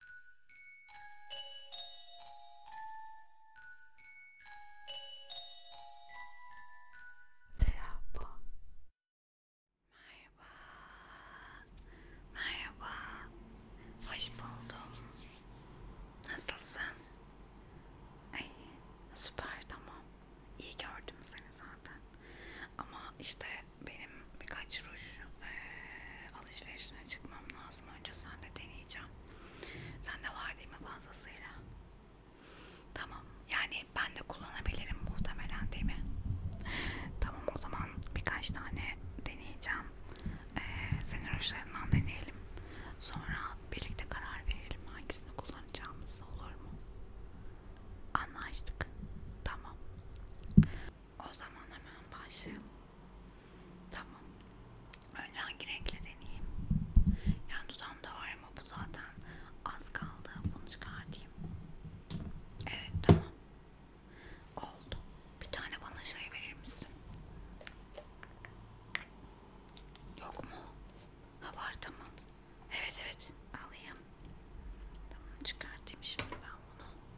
Merhaba. Merhaba. Merhaba. Hoş buldum. Nasılsın? Ay, süper tamam. İyi gördüm seni zaten. Ama işte benim birkaç ruj e, alışverişine çıkmam lazım. Önce sen de deneyeceğim. Sen de var değil mi fazlasıyla? Tamam. Yani ben de kullanabilirim muhtemelen değil mi? tamam o zaman birkaç tane deneyeceğim. Ee, senin rujlarından deneyelim. Sonra birlikte karar verelim hangisini kullanacağımız olur mu? Anlaştık. Tamam. O zaman hemen başlayalım. Tamam. Önce hangi renkle deneyeyim? Yani dudağımda var ama bu zaten az kaldı. Bunu çıkartayım. Evet tamam. Oldu. Bir tane bana şey verir misin? Yok mu? Ha var tamam. Evet evet alayım. Tamam çıkartayım şimdi ben bunu.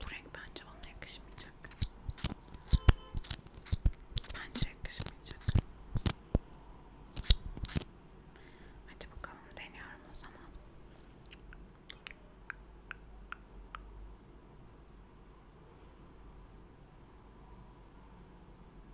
Bu renk bence bana yakışmayacak. Bence yakışmayacak. Hadi bakalım deniyorum o zaman.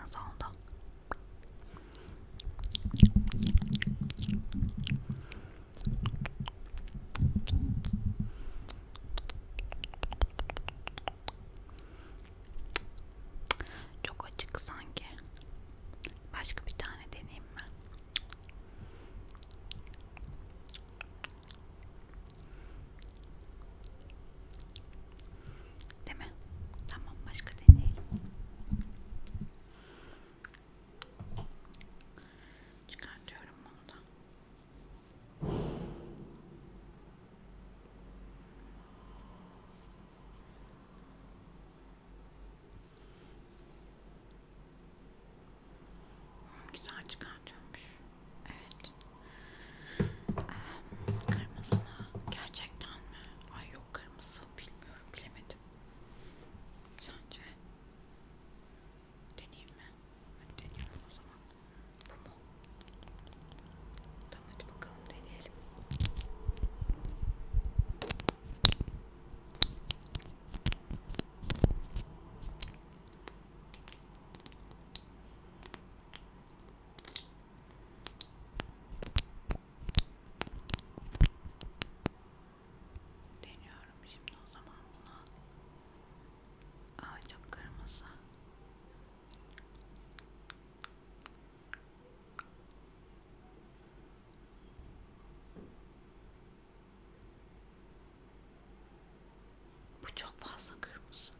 Nasıl oldu? Çok açık sanki. Başka bir tane deneyeyim mi? Değil mi? Tamam başka deneyelim. Çıkartıyorum bunu da. Güzel çıkartıyormuş. Evet. Ee, kırmızı mı? Gerçekten mi? Ay yok kırmızı. Bilmiyorum. Bilemedim. Sence? Deneyeyim mi? Hadi deneyelim o zaman. Bu mu? Tamam hadi bakalım deneyelim. Deniyorum şimdi o zaman buna. Aa çok kırmızı. Bu çok fazla kırmızı.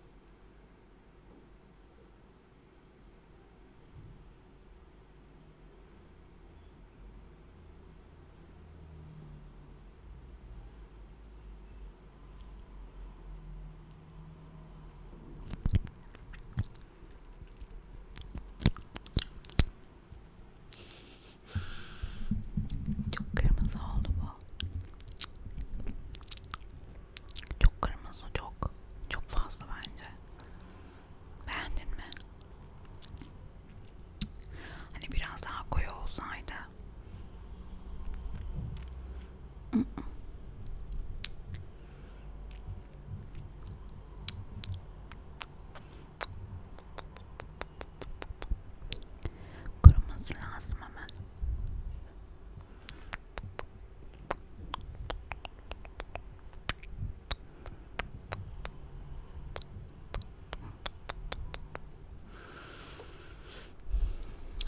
Çok kırmızı oldu bu. Çok kırmızı çok. Çok fazla bence. Beğendin mi? Hani biraz daha koyu olsaydı. Kuruması lazım hemen.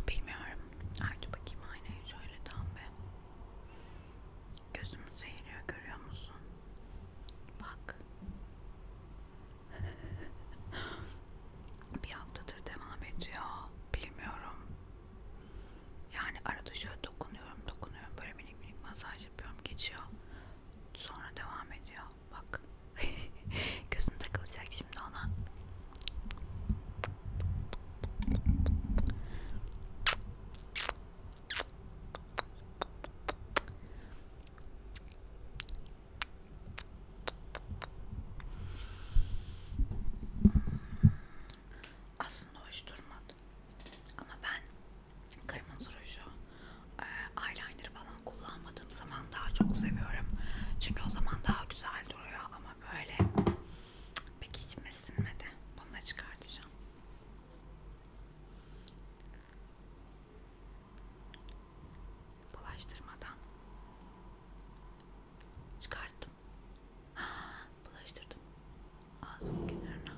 Bilmiyorum. Hadi bakayım aynayı şöyle tam be. Gözümü seyiriyor görüyor musun? Bak bir haftadır devam ediyor. Bilmiyorum. Yani arada şöyle dokunuyorum, dokunuyorum. Böyle minik minik masaj yapıyorum, geçiyor. Sonra devam ediyor. Bak. Gözün takılacak şimdi ona. Aslında hoş durmadı. Ama ben kırmızı ruju, e, eyeliner falan kullanmadığım zaman daha çok seviyorum. Çünkü o zaman daha güzel duruyor ama böyle pek içime sinmedi. Bunu da çıkartacağım bulaştırmadan çıkarttım. Ha, bulaştırdım ağzımın kenarına.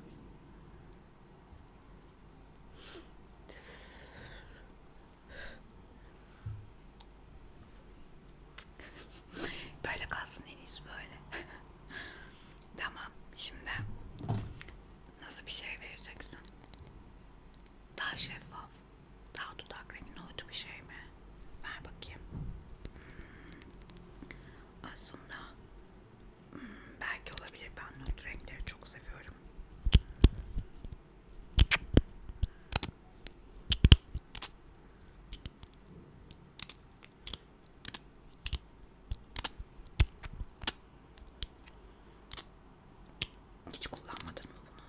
böyle kalsın en iyisi böyle. tamam. Şimdi nasıl bir şey vereceksin? Daha şeffaf. Daha dudak rengi nohut bir şey mi? Ver bakayım. Hmm. Aslında hmm, belki olabilir. Ben nohut renkleri çok seviyorum. Hiç kullanmadın mı bunu?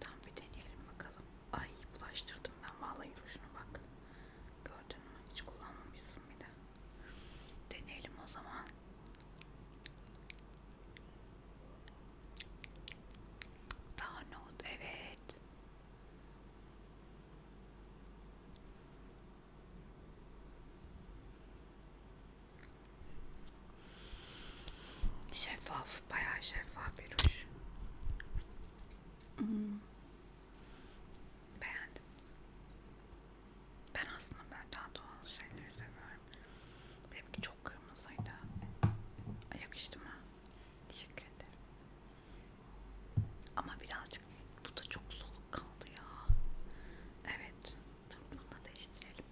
Tam bir deneyelim bakalım. Ay bulaştırdım ben vallahi rujunu bak. Gördün mü? Hiç kullanmamışsın bir de. Deneyelim o zaman. Daha not evet. Şeffaf, bayağı şeffaf bir ruj. Hmm. Beğendim. Ben aslında ben daha doğal şeyleri seviyorum. Benimki çok kırmızıydı. Yakıştı mı? Teşekkür ederim. Ama birazcık bu da çok soluk kaldı ya. Evet. Tabii bunu da değiştirelim.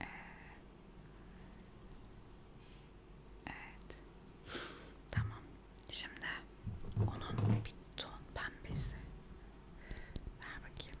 Ee, evet. tamam. Şimdi onun bir ton pembesi. Ver bakayım.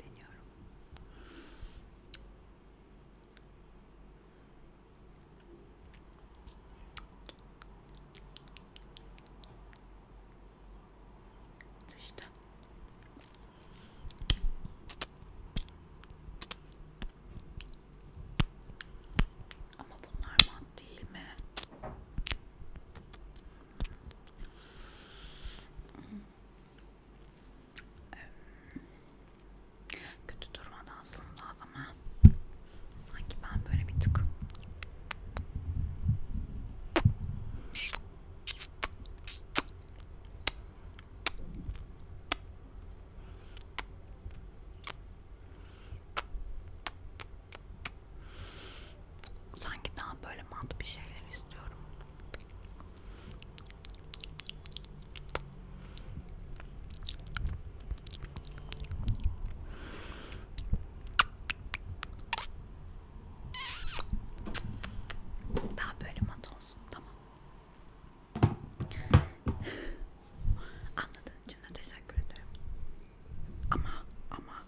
deniyorum. İşte. Ama bunlar mat değil mi? kötü durmadı aslında ama sanki ben böyle bir tık sanki daha böyle mat bir şeyler istiyorum daha böyle mat olsun tamam. Anladığın için de teşekkür ederim. Ama ama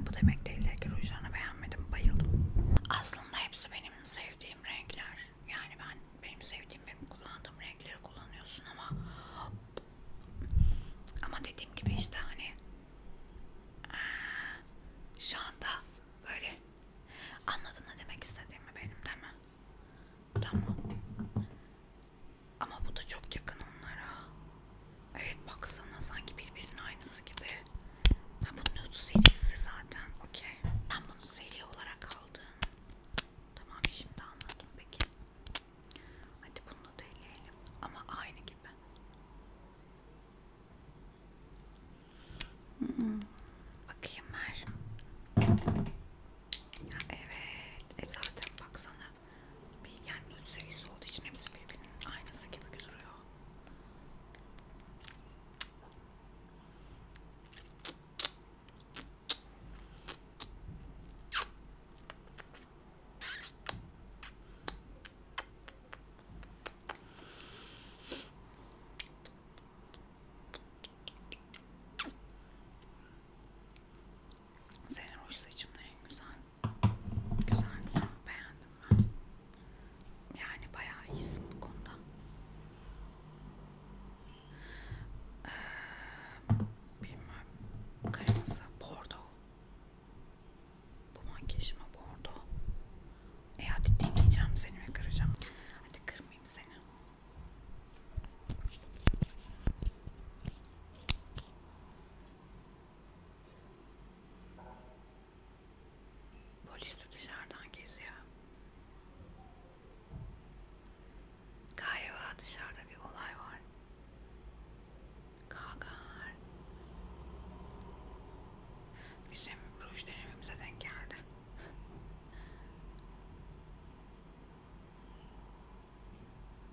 bu demek değildir ki rujlarını beğenmedim bayıldım. Aslında hepsi benim benim sevdiğim renkler. Yani ben benim sevdiğim benim kullandığım renkleri kullanıyorsun ama ama dediğim gibi işte hani şu anda böyle anladın ne demek istediğimi benim değil mi? Tamam. Ama bu da çok yakın onlara. Evet baksana sanki birbirinin aynısı gibi. Ha bunun nude serisi zaten. Okey. Ben bunu seri olarak aldım. Tamam şimdi anladım peki. Hadi bunu da eleyelim. Ama aynı gibi. Hmm. Bakayım ver. Evet. E zaten baksana. Bir yani nude serisi olduğu için hepsi birbirinin aynısı gibi duruyor. Senin ruj saçımın en güzel. Güzel güzel beğendim. Yani bayağı iyisin bu konuda. Ee, bilmem. Kırmızı, bordo. Bu makyajıma bordo. E hadi deneyeceğim seni ve kıracağım. Hadi kırmayayım seni. Polis de dışarıdan geziyor. Galiba dışarıda bir olay var. Kagar. Bizim ruj denememize denk geldi.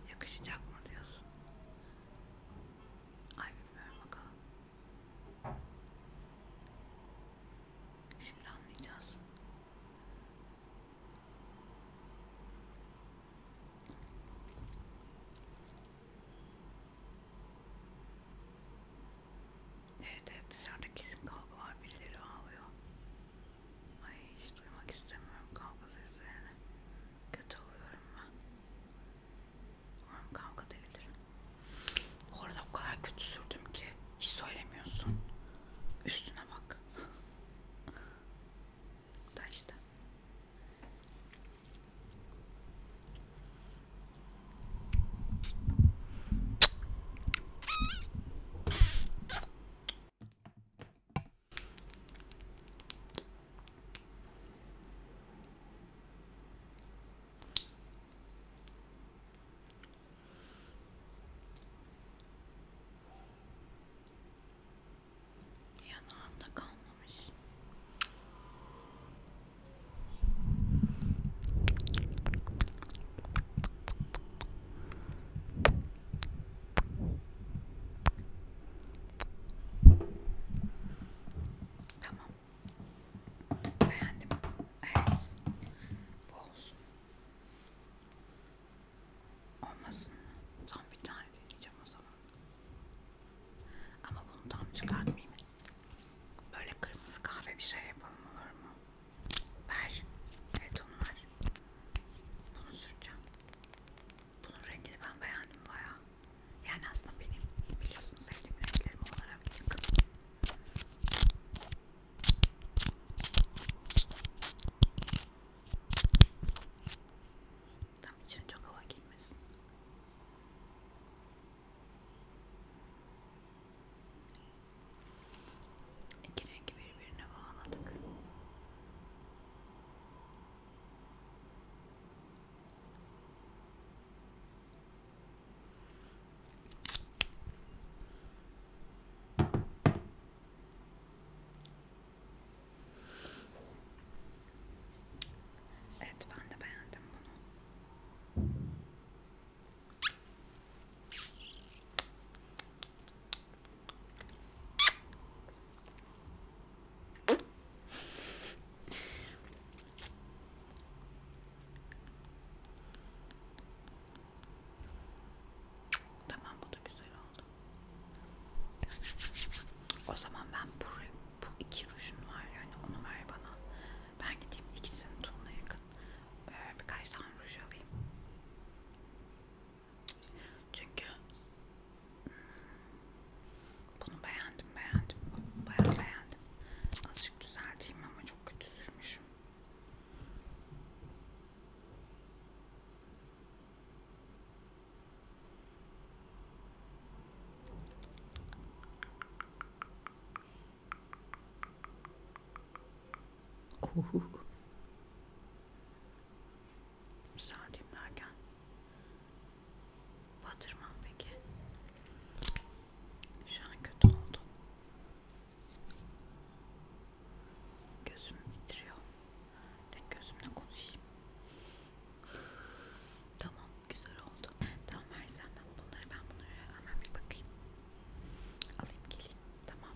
Yakışacak mı diyorsun? Ay bilmiyorum bakalım. Şimdi anlayacağız. Evet evet dışarıda kesin kavga var birileri ağlıyor. Ay hiç duymak istemiyorum kavga seslerini. Kötü oluyorum ben. Umarım kavga değildir. Orada o kadar kötü sürdüm ki hiç söylemiyorsun. Üstüne bak. da işte. いやなんだかんまむし Tamam. Beğendim. Evet. Bu olsun. Olmasın mı? Tam bir tane deneyeceğim o zaman. Ama bunu tam çıkartmayayım. Böyle kırmızı kahve bir şey yapalım olur mu? Ver. Evet onu ver. Bunu süreceğim. Bunun rengini ben beğendim baya. Yani aslında benim biliyorsun sevdiğim renklerim olarak yakın. Tam içine çok hava girmesin. İki rengi birbirine bağladık. Evet ben de beğendim bunu. Tamam bu da güzel oldu. O zaman ben buraya bu iki rujun var yani onu ver bana. Ben gideyim ikisini Tuna'ya yakın. Birkaç tane ruj alayım. Çünkü bunu beğendim, beğendim. Bayağı beğendim. Azıcık düzelteyim ama çok kötü sürmüşüm. Güzel dinlerken batırmam peki. Şu an kötü oldu. Gözüm titriyor. Tek gözümle konuşayım. Tamam, güzel oldu. Tamam versen ben bunları ben bunları hemen bir bakayım. Alayım geleyim. Tamam.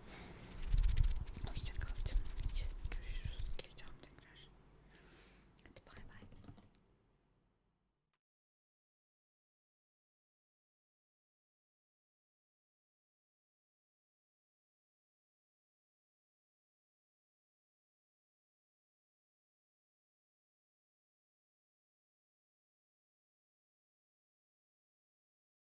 Hoşçakal canım için. Görüşürüz. Geleceğim tekrar. Hadi bay bay.